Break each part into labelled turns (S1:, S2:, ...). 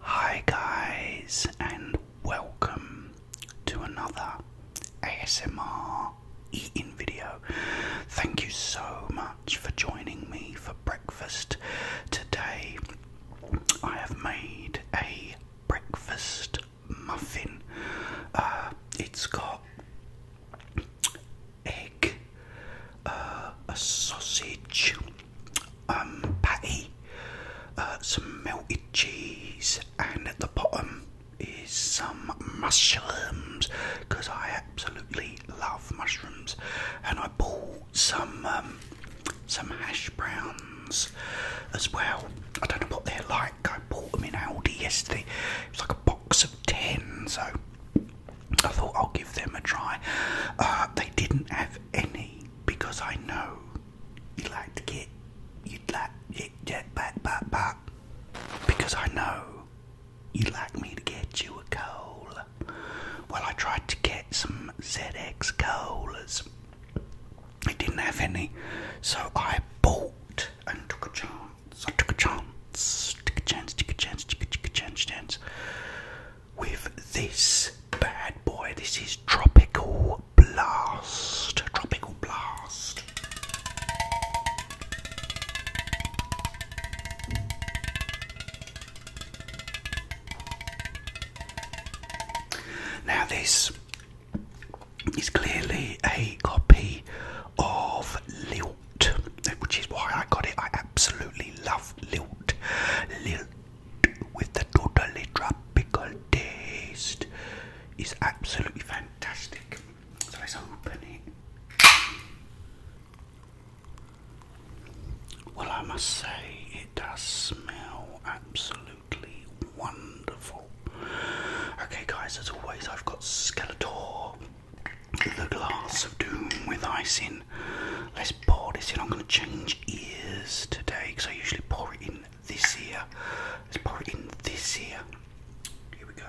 S1: Hi, guys, and welcome to another ASMR eating video. Thank you so much for joining me for breakfast today. I have made a breakfast muffin, uh, it's got egg uh, a sausage um, patty, uh, some melted cheese, and at the bottom is some mushrooms because I absolutely love mushrooms. And I bought some um, some hash browns as well. I don't know what they're like. I bought them in Aldi yesterday. It was like a box of ten, so I thought I'll give them a try. Uh, they didn't have any because I know you like to get you'd like yeah, yeah, but, but, but, because I know you'd like me to get you a coal. Well, I tried to get some ZX colas. I didn't have any, so I bought and took a chance. I took a chance, Take a chance, Take a chance, Take a, take a chance, chance with this bad boy. This is Tropical Blast. Tropical Blast. Now, this is clearly a copy of Lil which is why I got it. I absolutely love Lilt. Lilt with the totally tropical taste it is absolutely fantastic. So let's open it. Well, I must say, it does smell absolutely wonderful. Okay, guys, as always, I've got Skeletor the glass of doom with icing. Let's pour this in. I'm going to change ears today because I usually pour it in this ear. Let's pour it in this ear. Here we go.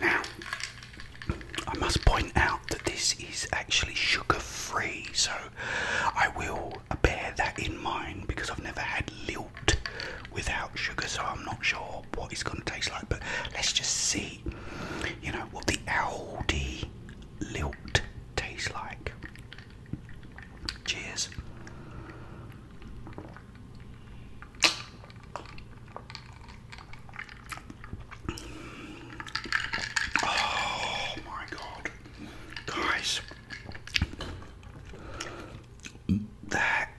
S1: Now, I must point out that this is actually sugar free, so I will bear that in mind because I've never had lilt without sugar, so I'm not sure what it's going to taste like. But let's just see, you know, what the Aldi lilt tastes like? Cheers. Oh my god, guys, that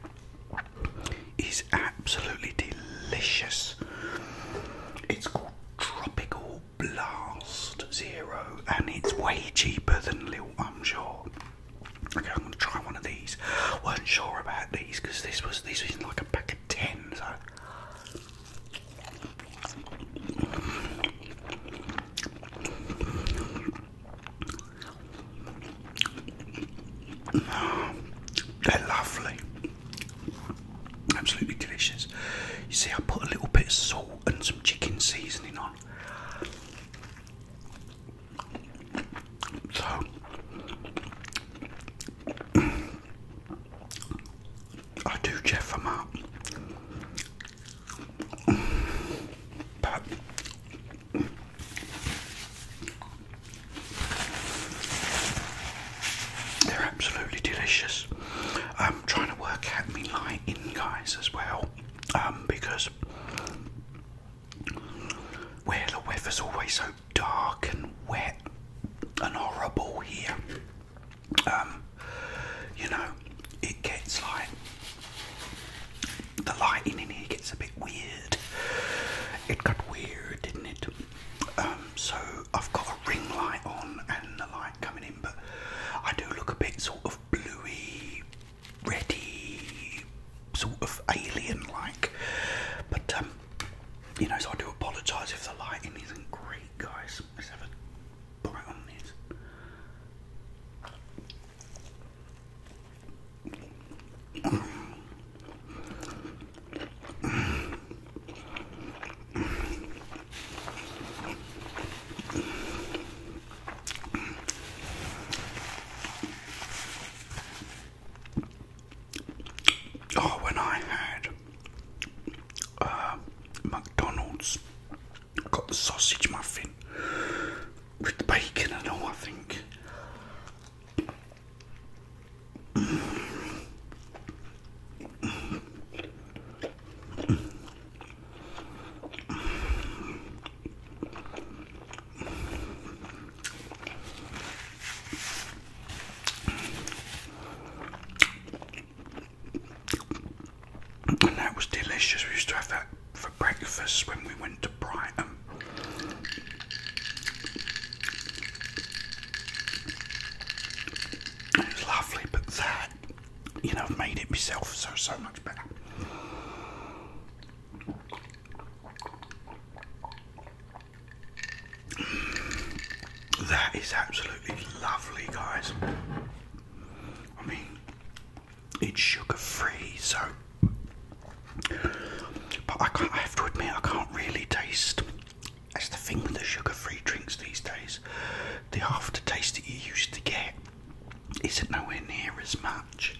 S1: is absolutely delicious. It's Tropical Blast Zero, and it's way cheaper than Lil, I'm sure. Okay, I'm gonna try one of these. wasn't sure about these this was this was like a pack of ten. So. They're lovely. Absolutely delicious. You see, I put a little bit of salt and some chicken seasoning on. So I do Jeff them up, they're absolutely delicious. I'm trying to work out me light in guys as well, um, because where the weather's always so dark and wet and horrible here, um, you know, it gets like the lighting in here gets a bit weird. It got weird, didn't it? Um, so I've got a ring light on and the light coming in, but I do look a bit sort of bluey, reddy, sort of alien like. But, um, you know, so I do apologise if the lighting isn't great, guys. Let's have a bite on this. Oh, when I had uh, McDonald's, got the sausage muffin with the bacon and all, I think that was delicious. We used to have that for breakfast when we went to Brighton lovely, but that, you know, I've made it myself, so so much better. That is absolutely lovely, guys. I mean, it's sugar free, so but I, can't, have to admit, I can't really taste. That's the thing with the sugar-free drinks these days. The aftertaste that you used to get isn't nowhere near as much.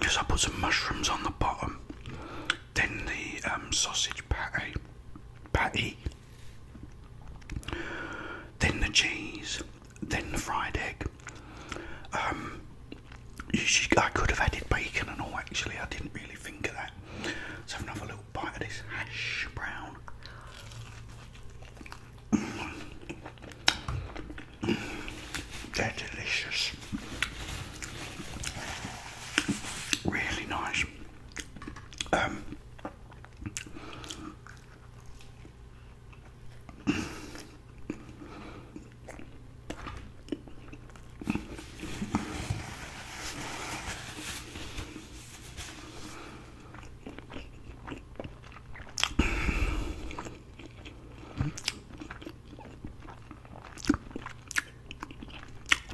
S1: Yes, I put some mushrooms on the bottom, then the um, sausage patty, patty, then the cheese, then the fried egg. Um, I could have added bacon and all. Actually, I didn't really think of that. Let's have another little bite of this hash brown. They're delicious. Really nice. Um,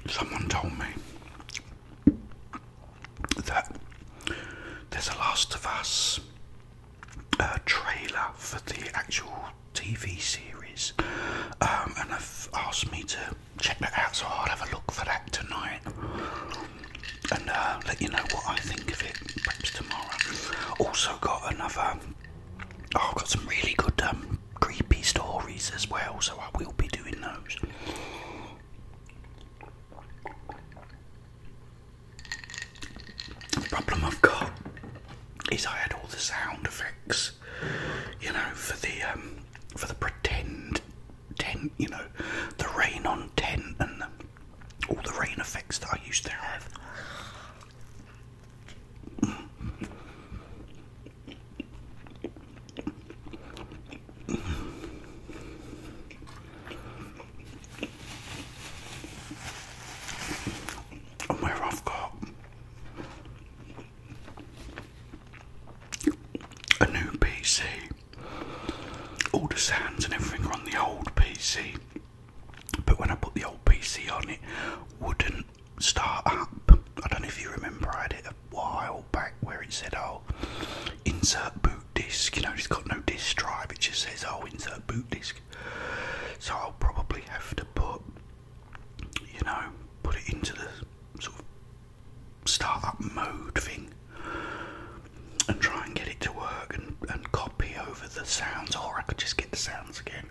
S1: Someone told me that there's a Last of Us uh, trailer for the actual TV series, um, and and have asked me to check that out, so I'll have a look for that tonight and uh, let you know what I think of it tomorrow. Also got another. Oh, I've got some really good um, creepy stories as well, so I will be doing those. The problem I've got is I had all the sound effects, you know, for the um, for the pretend tent, you know, the rain on tent and the all the rain effects that I used to have. And where I've got a new PC, all the sounds and everything are on the old PC but when I put the old PC on, it wouldn't start up. I don't know if you remember, I had it a while back where it said, "Oh, insert boot disk." You know, it's got no disk drive. It just says, "Oh, insert boot disk." So I'll probably have to put, you know, put it into the sort of startup mode thing and try and get it to work and, copy over the sounds, or I could just get the sounds again.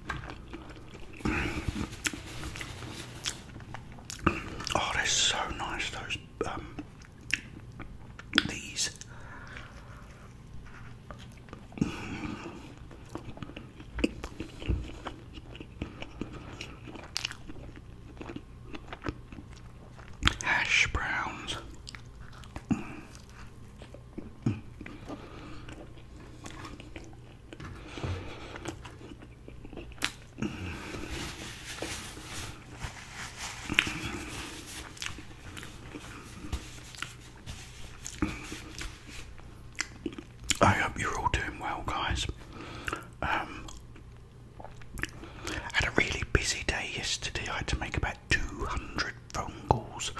S1: oh, they're so nice, those. Um, these hash browns. I hope you're all doing well, guys. Um, I had a really busy day yesterday. I had to make about 200 phone calls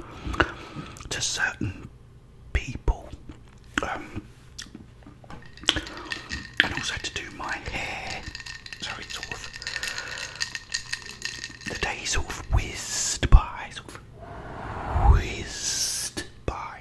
S1: to certain people, um, and also to do my hair. sort of the day sort whizzed by, whizzed by.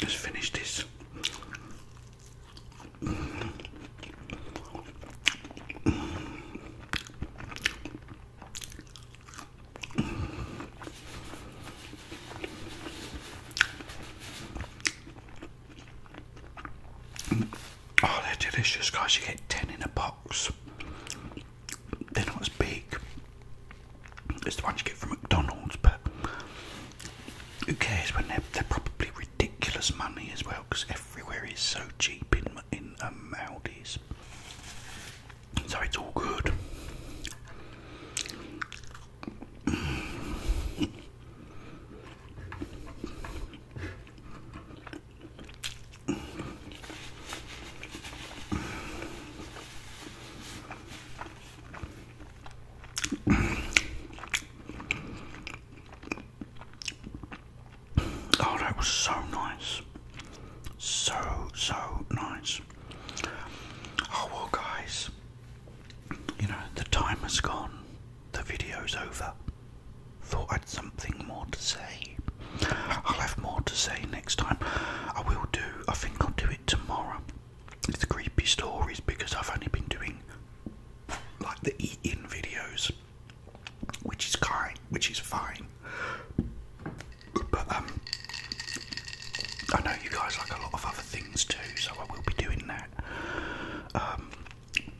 S1: Let's finish this. Oh, they're delicious, guys. You get 10 in a box. They're not as big as the ones you get from McDonald's, but who cares when they're, they're probably ridiculous money as well because everywhere is so cheap in, in um, Aldi's. So it's all good. Oh, that was so nice. So, so nice. Oh, well, guys, you know, the time has gone the video's over. Thought I'd something more to say. I'll have more to say next time. I will do, I think I'll do it tomorrow. It's creepy stories because I've only been doing like the eat in videos, which is kind, which is fine. But um, I know you guys like a lot of other things too, so I will be doing that. Um,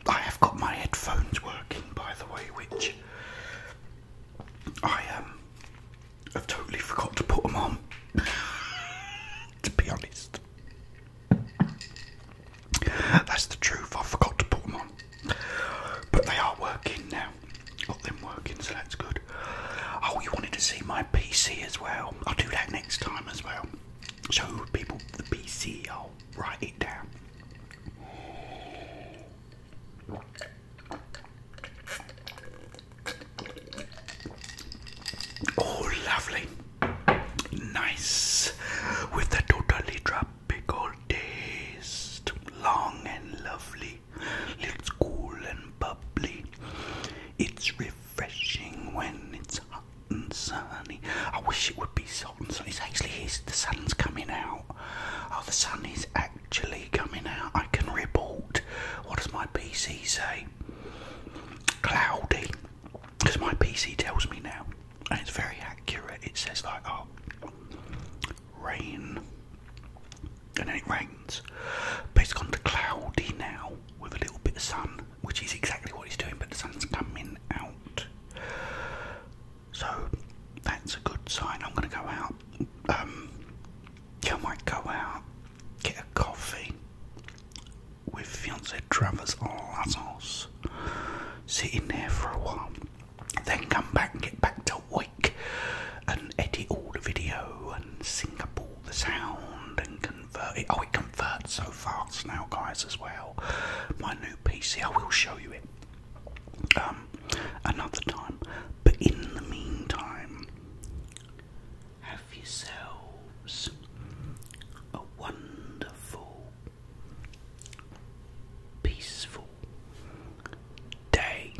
S1: I have got my headphones working, by the way, which I um, have totally forgot to put them on. to be honest, that's the truth. I forgot to put them on, but they are working now. Got them working, so that's good. Oh, you wanted to see my PC as well? I'll do that next time as well. So people, the PC, I'll write it down. Oh, lovely. Nice. With the totally tropical taste. Long and lovely. It's cool and bubbly. It's refreshing when it's hot and sunny. I wish it would be hot and sunny. It's actually is the sun's coming out. Oh, the sun is actually coming out. I can report. What does my PC say? Cloudy, because my PC tells me now, and it's very accurate. It says like, oh, rain, and then it rains. But it's gone to cloudy now with a little bit of sun which is exactly what he's doing, but the sun's coming out. So that's a good sign. I'm going to go out. Um, yeah, I might go out, get a coffee with fiancé Travers Lazos, sit in there for a while, then come back get back to Wake and edit all the video and sync up all the sound and Oh, it converts so fast now, guys, as well. My new PC, I will show you it um, another time. But in the meantime, have yourselves a wonderful, peaceful day.